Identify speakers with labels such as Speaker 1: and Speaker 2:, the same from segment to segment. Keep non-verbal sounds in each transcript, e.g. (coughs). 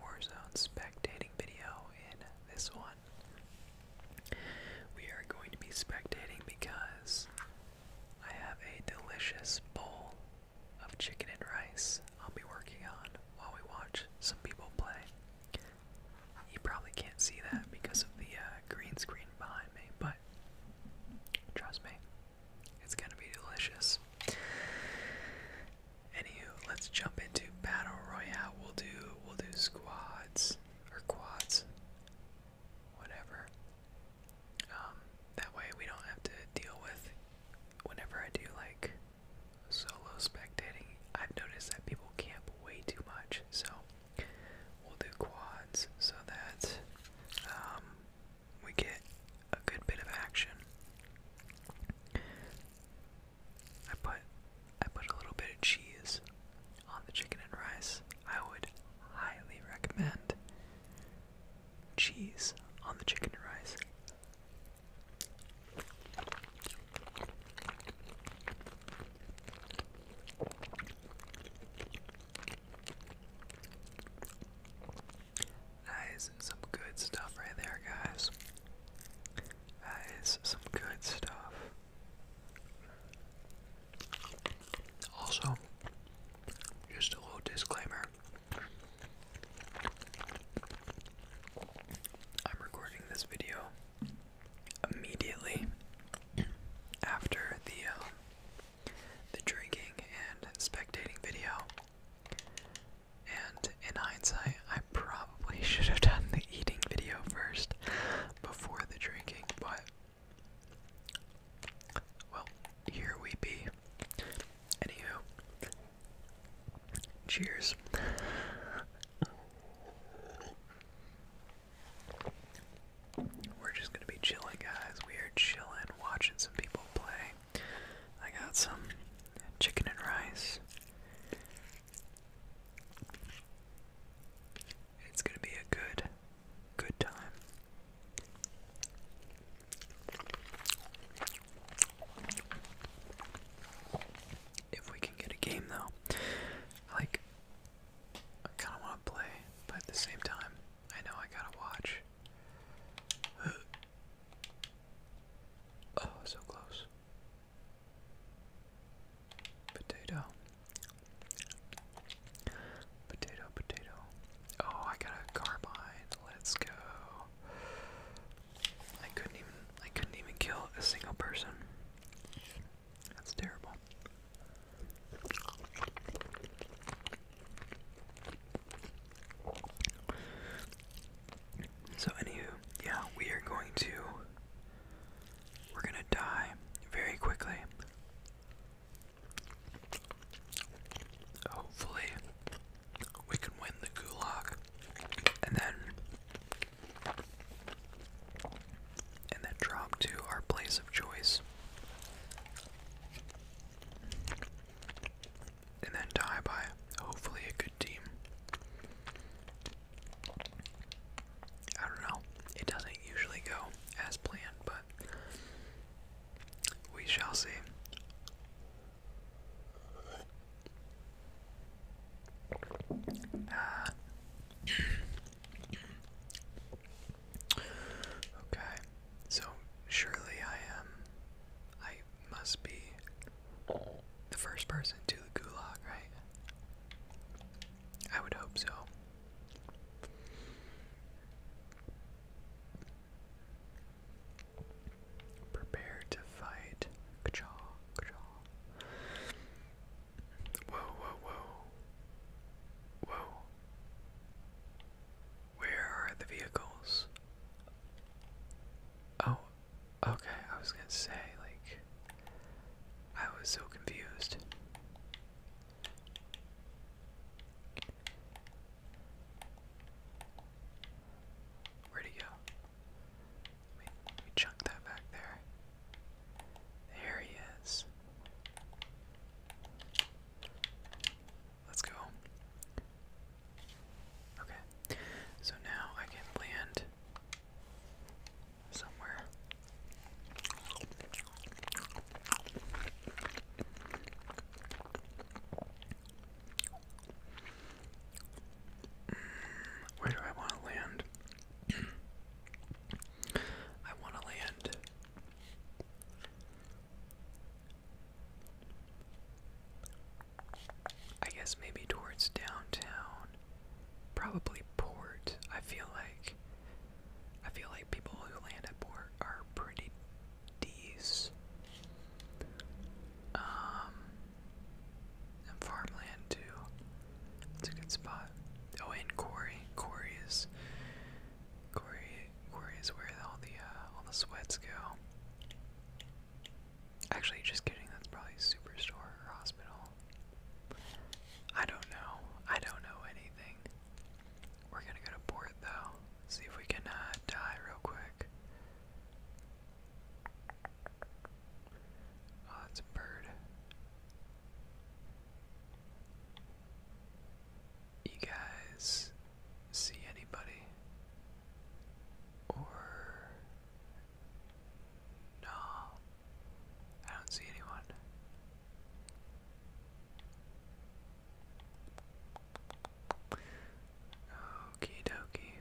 Speaker 1: Warzone spectating video in this one. We are going to be spectating because I have a delicious bowl of chicken and rice I'll be working on while we watch some people play. You probably can't see that because of the uh, green screen behind me, but trust me, it's gonna be delicious. Anywho, let's jump into battle royale. We'll do we'll do squads or quads, whatever. Um, that way we don't have to deal with. Whenever I do like solo spectating, I've noticed that people camp way too much. So we'll do quads so that um, we get a good bit of action. I put I put a little bit of cheese on the chicken and rice. I would highly recommend cheese on the chicken and rice. That is some good stuff right there, guys. That is some good stuff. Also, just a little disclaimer. I'm recording this video immediately after the um, the drinking and spectating video. And in hindsight, I probably should have done the eating video first before the drinking, but well, here we be. Anywho, cheers. We're just gonna be chilling, guys. We are chilling, watching some people play. I got some chicken and rice. It's going to be a good, good time. If we can get a game though, like, I kind of want to play, but at the same time, I know I gotta watch. (gasps) oh, so close. Potato. Potato, potato. Oh, I got a carbine. Let's go. I couldn't even I couldn't even kill a single person. That's terrible. So anywho, yeah, we are going to we're gonna die very quickly. Hopefully we can win the gulag and then and then drop to our place of choice and then tie by hopefully a good team. I don't know. It doesn't usually go as planned, but we shall see. Ah. (clears throat) okay, so surely I am. I must be the first person to the gulag, right? I would hope so. Prepare to fight. Whoa, whoa, whoa. Whoa. Where are the vehicles? Oh, Okay, I was gonna say, like, I was so confused. Where'd he go? Let chunk that back there. There he is. Let's go. Okay, so now I can land somewhere. Mm, where do I want to land? (clears throat) I want to land. I guess maybe towards downtown. Probably port. I feel like I feel like people who land at port are pretty decent. Um and farmland too. It's a good spot. Oh and quarry. Corey is quarry quarry is where all the uh, all the sweats go. Actually, just kidding, that's probably a Superstore or Hospital. I don't know. I don't know anything. We're gonna go to port though. See if we can uh, die real quick. Oh, that's a bird. You guys see anybody? Or no, I don't see anyone. Okie dokie.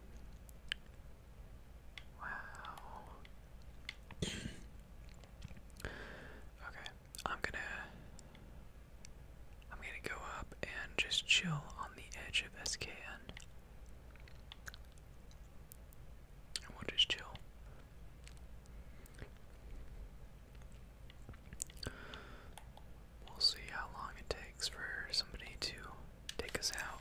Speaker 1: Wow. (clears throat) okay, I'm gonna I'm gonna go up and just chill on the edge of SKN we'll just chill. We'll see how long it takes for somebody to take us out.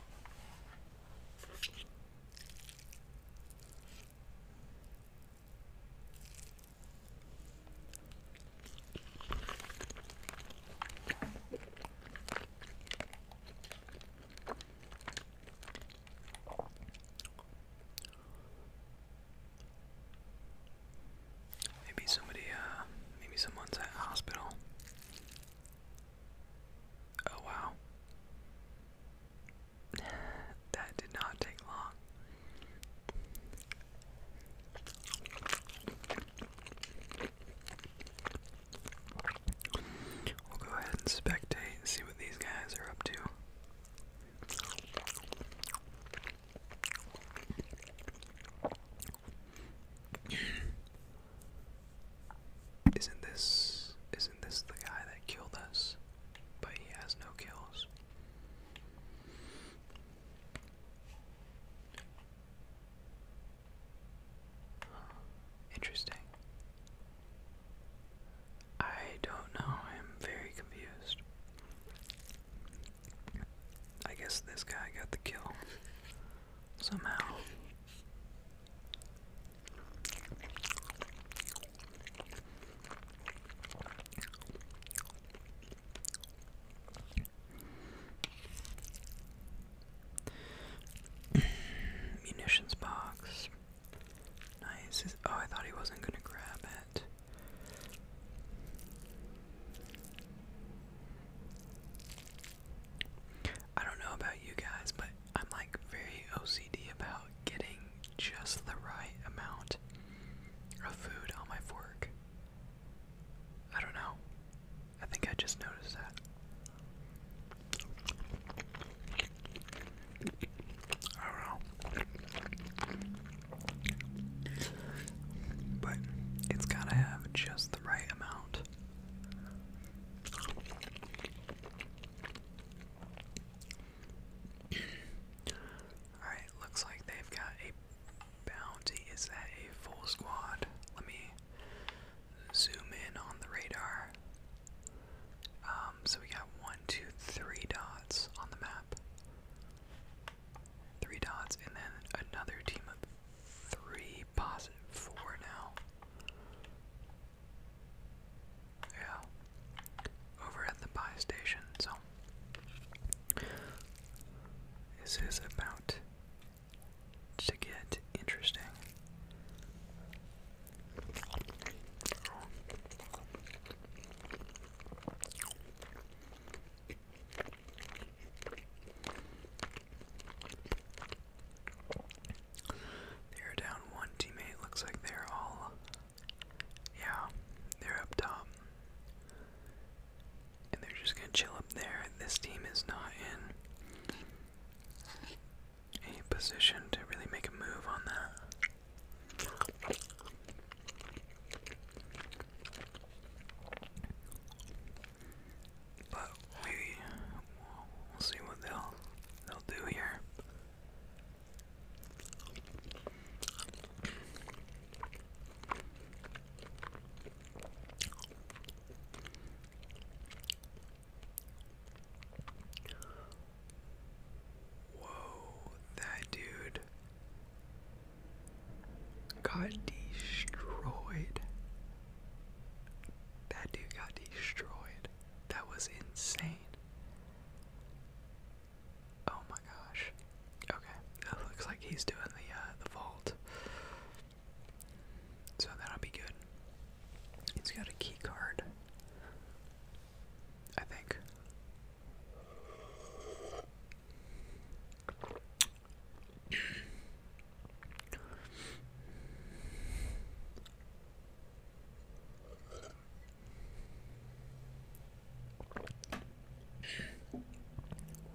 Speaker 1: Maybe somebody, uh, maybe someone's at hospital. Oh wow. (sighs) that did not take long. We'll go ahead and spectate and see what these guys are up to. Isn't this isn't this the guy that killed us? But he has no kills. Interesting. I don't know. I'm very confused. I guess this guy got the kill somehow. Munitions box. Nice. oh, I thought he wasn't gonna grab it. I don't know about you guys, but I'm like very OCD about getting just the right amount of food on my fork. I don't know. I think I just noticed that. I don't know. But it's gotta have just the right amount. Alright, looks like they've got a bounty. Is that a full squad? Let me zoom in on the radar. Um, so we got one, two, three dots on the map. Three dots, and then another team of three, positive four now. Yeah. Over at the buy station, so. This is about to get interesting. They're down one teammate. Looks like they're all. Yeah, they're up top and they're just gonna chill up there. This team is not in a position to really make a move on that. But we will see what they'll they'll do here. Whoa, that dude got destroyed. That dude got destroyed. That was insane. Oh my gosh. Okay, that looks like he's doing the uh, the vault. So that'll be good. He's got a key card. I think.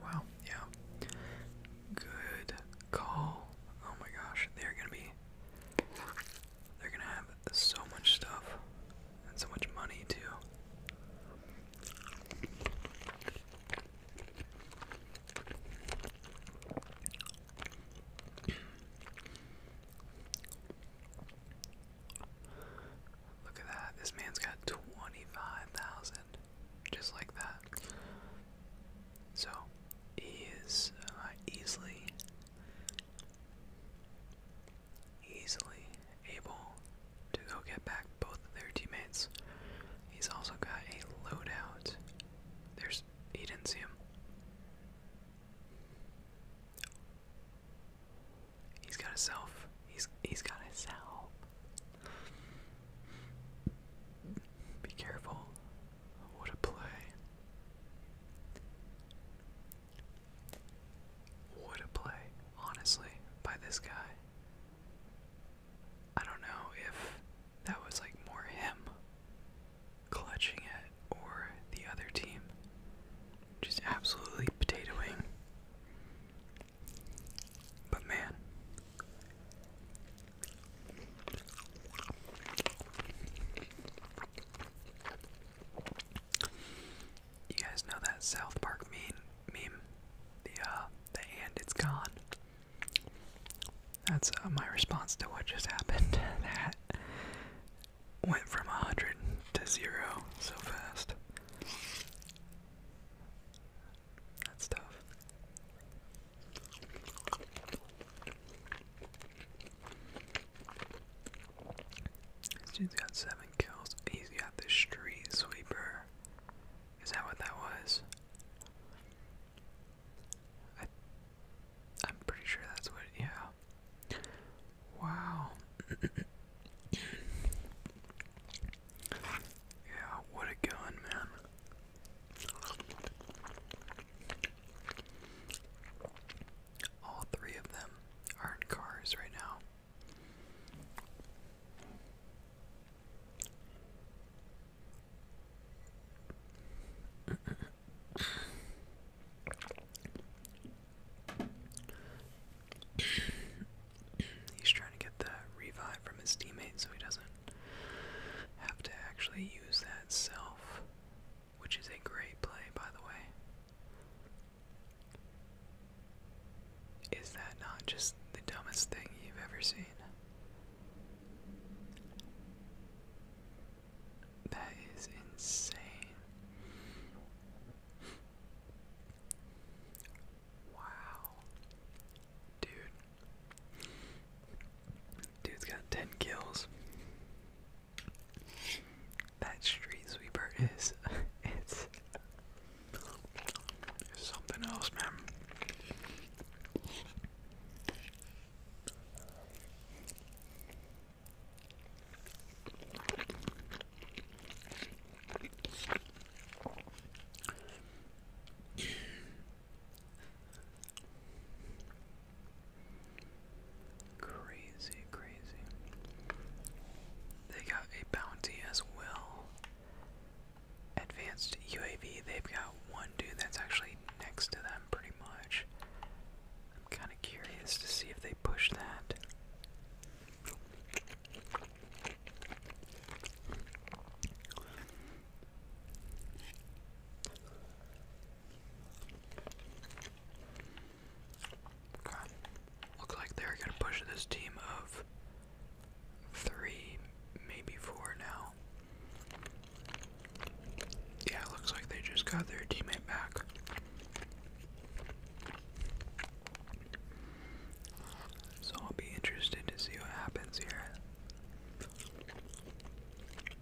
Speaker 1: Wow, yeah. Good call. Oh my gosh, they're gonna be. They're gonna have so much stuff and so much money too. Look at that. This man's got 25,000 just like that. So he is uh, easily, easily able to go get back both of their teammates. He's also got a loadout. There's he didn't see him. He's got a He's he's got a self. Be careful. What a play. What a play, honestly, by this guy. I don't know if that was like more him clutching it or the other team. Just absolutely potatoing but man, you guys know that South Park meme, the uh, the and it's gone. That's uh, my response to what just (laughs) happened. that went from a hundred to zero so fast. That's tough. This has got seven kills. He's got the street sweeper. Is that what that was? I'm pretty sure that's what. Yeah. Wow. Yeah, what a gun, man. All three of them are in cars right now. (coughs) He's trying to get the revive from his teammate so he doesn't have to actually use that self, which is a great play, by the way. Is that not just the dumbest thing you've ever seen? That is insane. Wow. Dude, Dude's got 10 kills. That street sweeper is (laughs) it's something else, man crazy, crazy. They got a bounty as well. Advanced UAV, they've got one dude that's actually next to them pretty much. I'm kind of curious to see if they push that. Okay. like they're gonna push this team of three, maybe four now. Yeah, it looks like they just got their teammate back. So I'll be interested to see what happens here.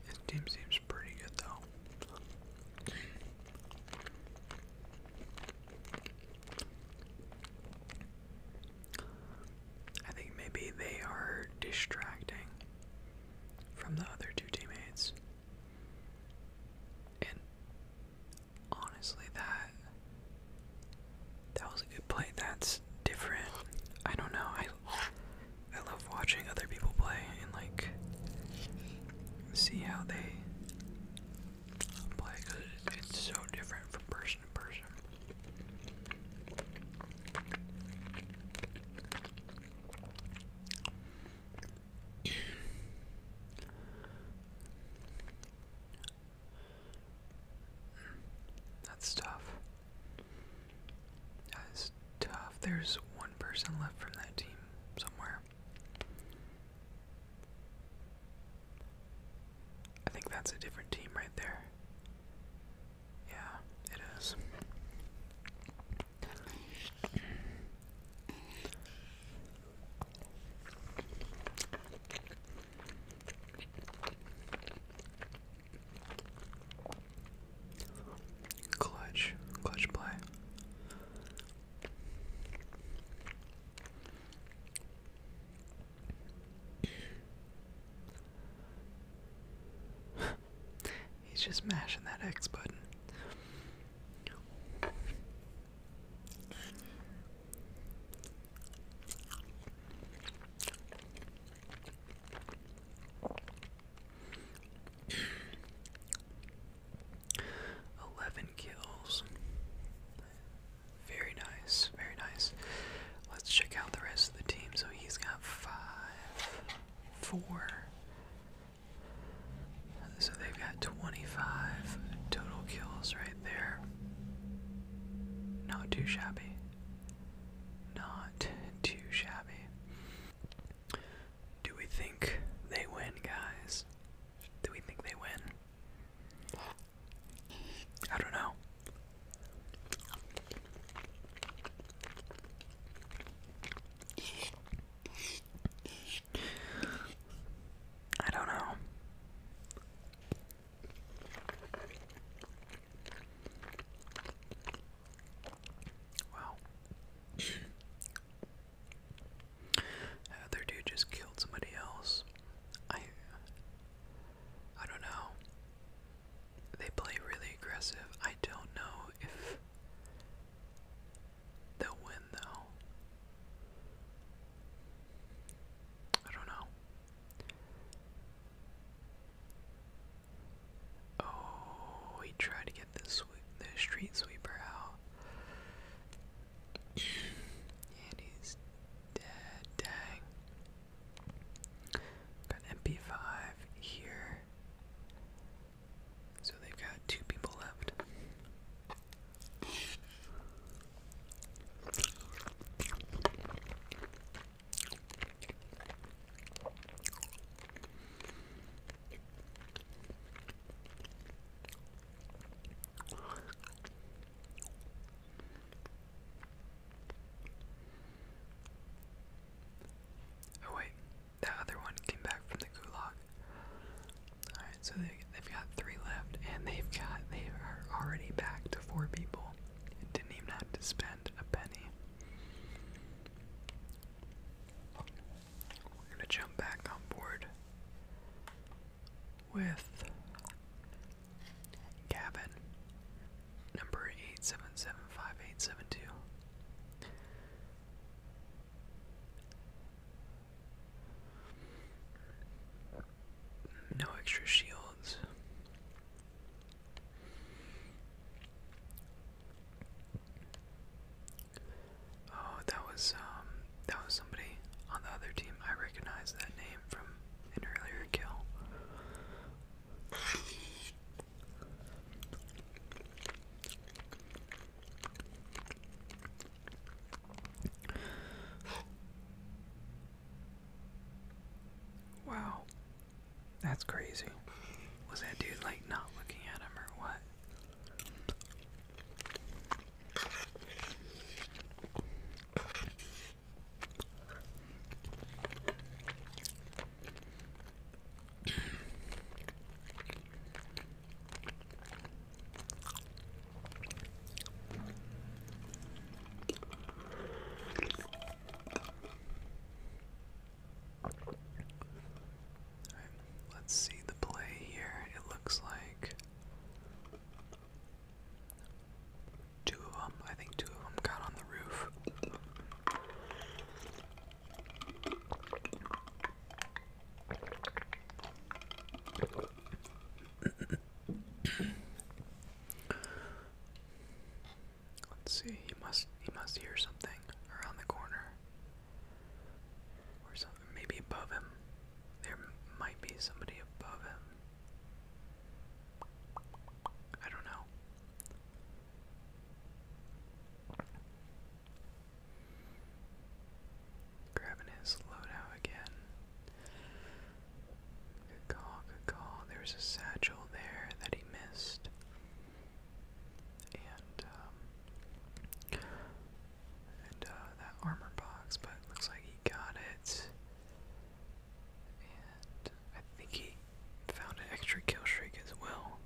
Speaker 1: This team seems pretty good though. I think maybe they are distracting from the other two teammates. And honestly, that that was a good play. That's different. I don't know. I I love watching other people play and like see how they play because it's so different from person to person. That's tough. That is tough. There's one person left from that team somewhere. I think that's a different team right there. Yeah, it is. Clutch, clutch play. (laughs) He's just mashing that X button. Eleven kills. Very nice, very nice. Let's check out the rest of the team. So he's got five, four. So they've got 25 total kills right there. Not too shabby. Not too shabby. Do we think they win, guys? Do we think they win? I don't know. I don't know. Wow. that other dude just killed somebody else. I I don't know. They play really aggressive. I don't know if they'll win though. I don't know. Oh, he tried to get the, sweep, the street sweeper out. and he's dead. Dang. Got MP5 here. So they've got two people left. Oh wait, that other one came back from the gulag. All right, so they, they've got three left, and they've got they are already back to four people didn't even have to spend a penny. We're gonna jump back on board with Gavin, number eight seven seven five eight seven two. No extra shields. Oh, that was um that was somebody on the other team. I recognize that name from an earlier kill. Wow. That's crazy. Was that dude like not looking at him or what? let's see the play here. It looks like two of them, I think two of them got on the roof. Let's see. He must. He must hear something around the corner, or something. Maybe above him. There might be somebody above him. I don't know. Grabbing his loadout again. Good call, good call. There's a satchel there that he missed. And, um, uh, that armor box, but looks like he got it. And I think he found an extra kill streak as well.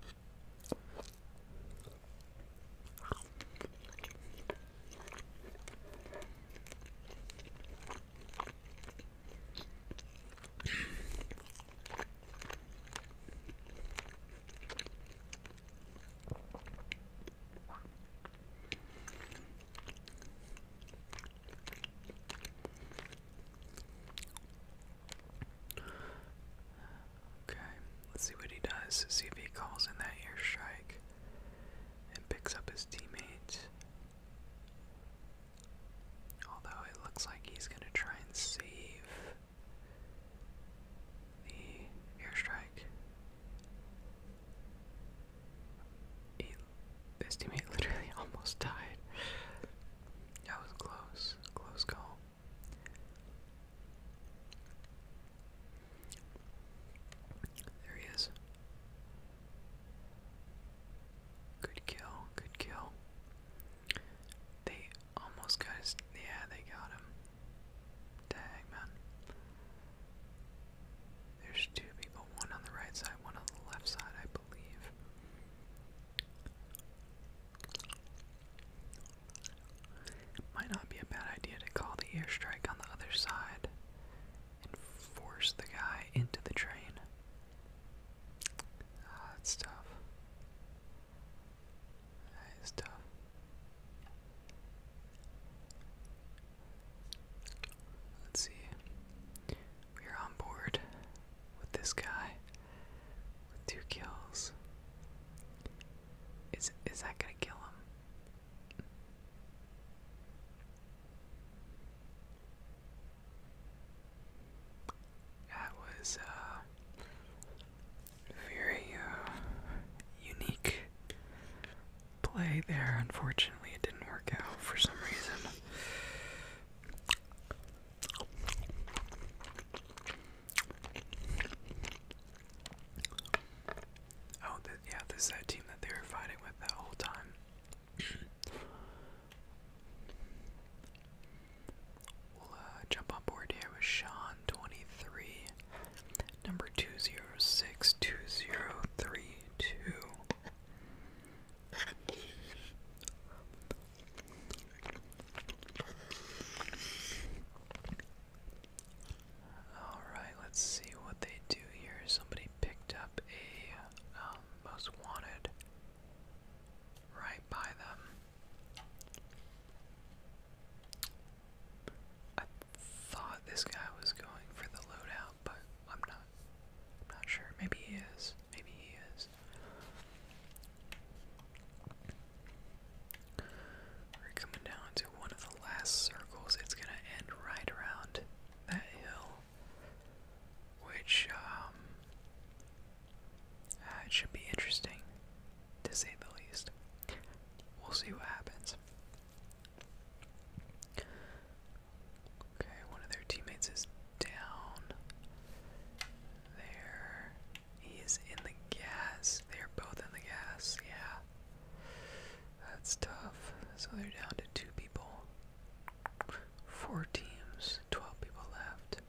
Speaker 1: Okay, let's see what he does. See if he calls in that air strike and picks up his teammates. Although it looks like he's going to try and save the airstrike. He, his teammate (laughs) literally almost died. That was close, close call. There he is. Good kill, good kill. They almost got his. Yeah, they got him. Dang, man. There's two people, one on the right side, one on the left side, I believe. Might not be a bad idea to call the airstrike on the other side and force the guy into the train. Ah, that's tough. That is tough. Let's see. We are on board with this guy with two kills. Is is that gonna kill him? That was a uh, very uh, unique play there. Unfortunately, it didn't work out for some reason. Oh, yeah, this is that team that they were fighting with that whole time. We'll uh, jump on board here with Sean twenty three, number two zero six two zero three two. All right, let's see what they do here. Somebody picked up a um, most wanted right by them. I thought this guy was going for the loadout, but I'm not. not sure. Maybe he is. Maybe he is. We're coming down to one of the last circles. It's gonna end right around that hill which um, uh, it should be interesting to say the least. We'll see what happens. Okay, one of their teammates is down. There. He in the gas. They are both in the gas, yeah. That's tough. So they're down to two people. Four teams, 12 people left.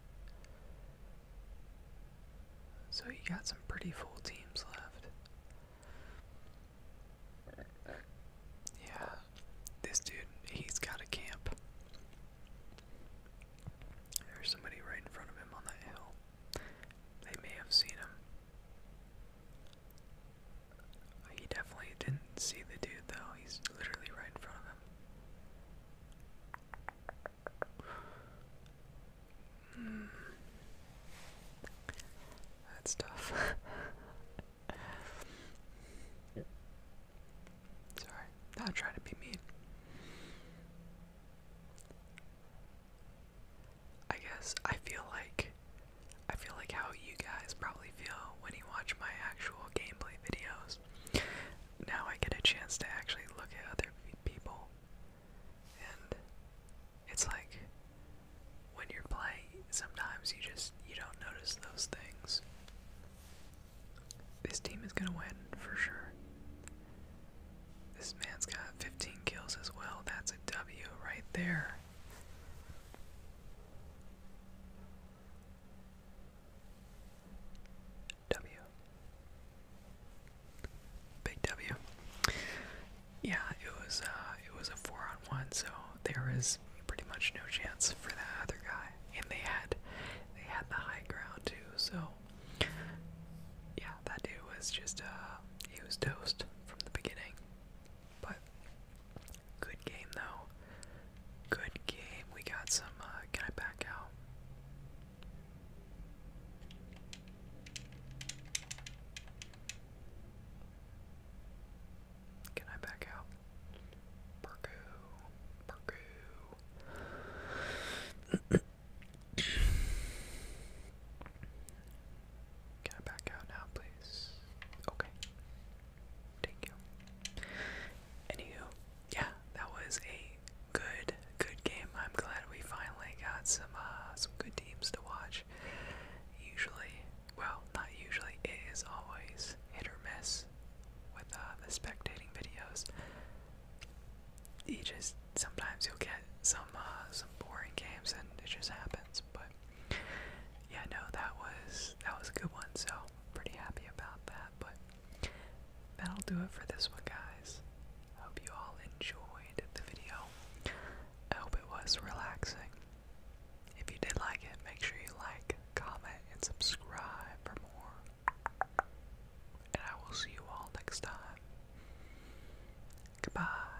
Speaker 1: So you got some pretty full teams left. Yeah, this dude, he's got a camp. There's somebody right in front of him on that hill. They may have seen him. He definitely didn't see the dude though, he's literally right in front of him. Mm. That's tough. (laughs) Sorry, not trying to be mean. I guess I feel like I feel like how you guys probably feel when you watch my actual gameplay videos. Now I get a chance to actually look at other people. And it's like when you're playing, sometimes you just you don't notice those things. This team is going to win for sure. This man's got 15 kills as well. That's a W right there. W. Big W. Yeah, it was uh, it was a four on one, so there was pretty much no chance for that other guy, and they had they had the high ground too. So yeah, that dude was just uh, he was toast from the beginning. But Good game, though. Good game. We got some. Uh, can I back out? Can I back out? Perku. Perku. Can I back out now, please? Okay. Thank you. Anywho, yeah, that was a good, good game. I'm glad we finally got some uh, some good teams to watch. Usually, well, not usually. It is always hit or miss with uh, the spectating videos. You just sometimes you'll get some uh, some boring games, and it just happens. But yeah, no, that was that was a good one. So pretty happy about that. But that'll do it for this one, guys. Hope you all enjoyed the video. I hope it was relaxing. If you did like it, make sure you like, comment, and subscribe for more. And I will see you all next time. Goodbye.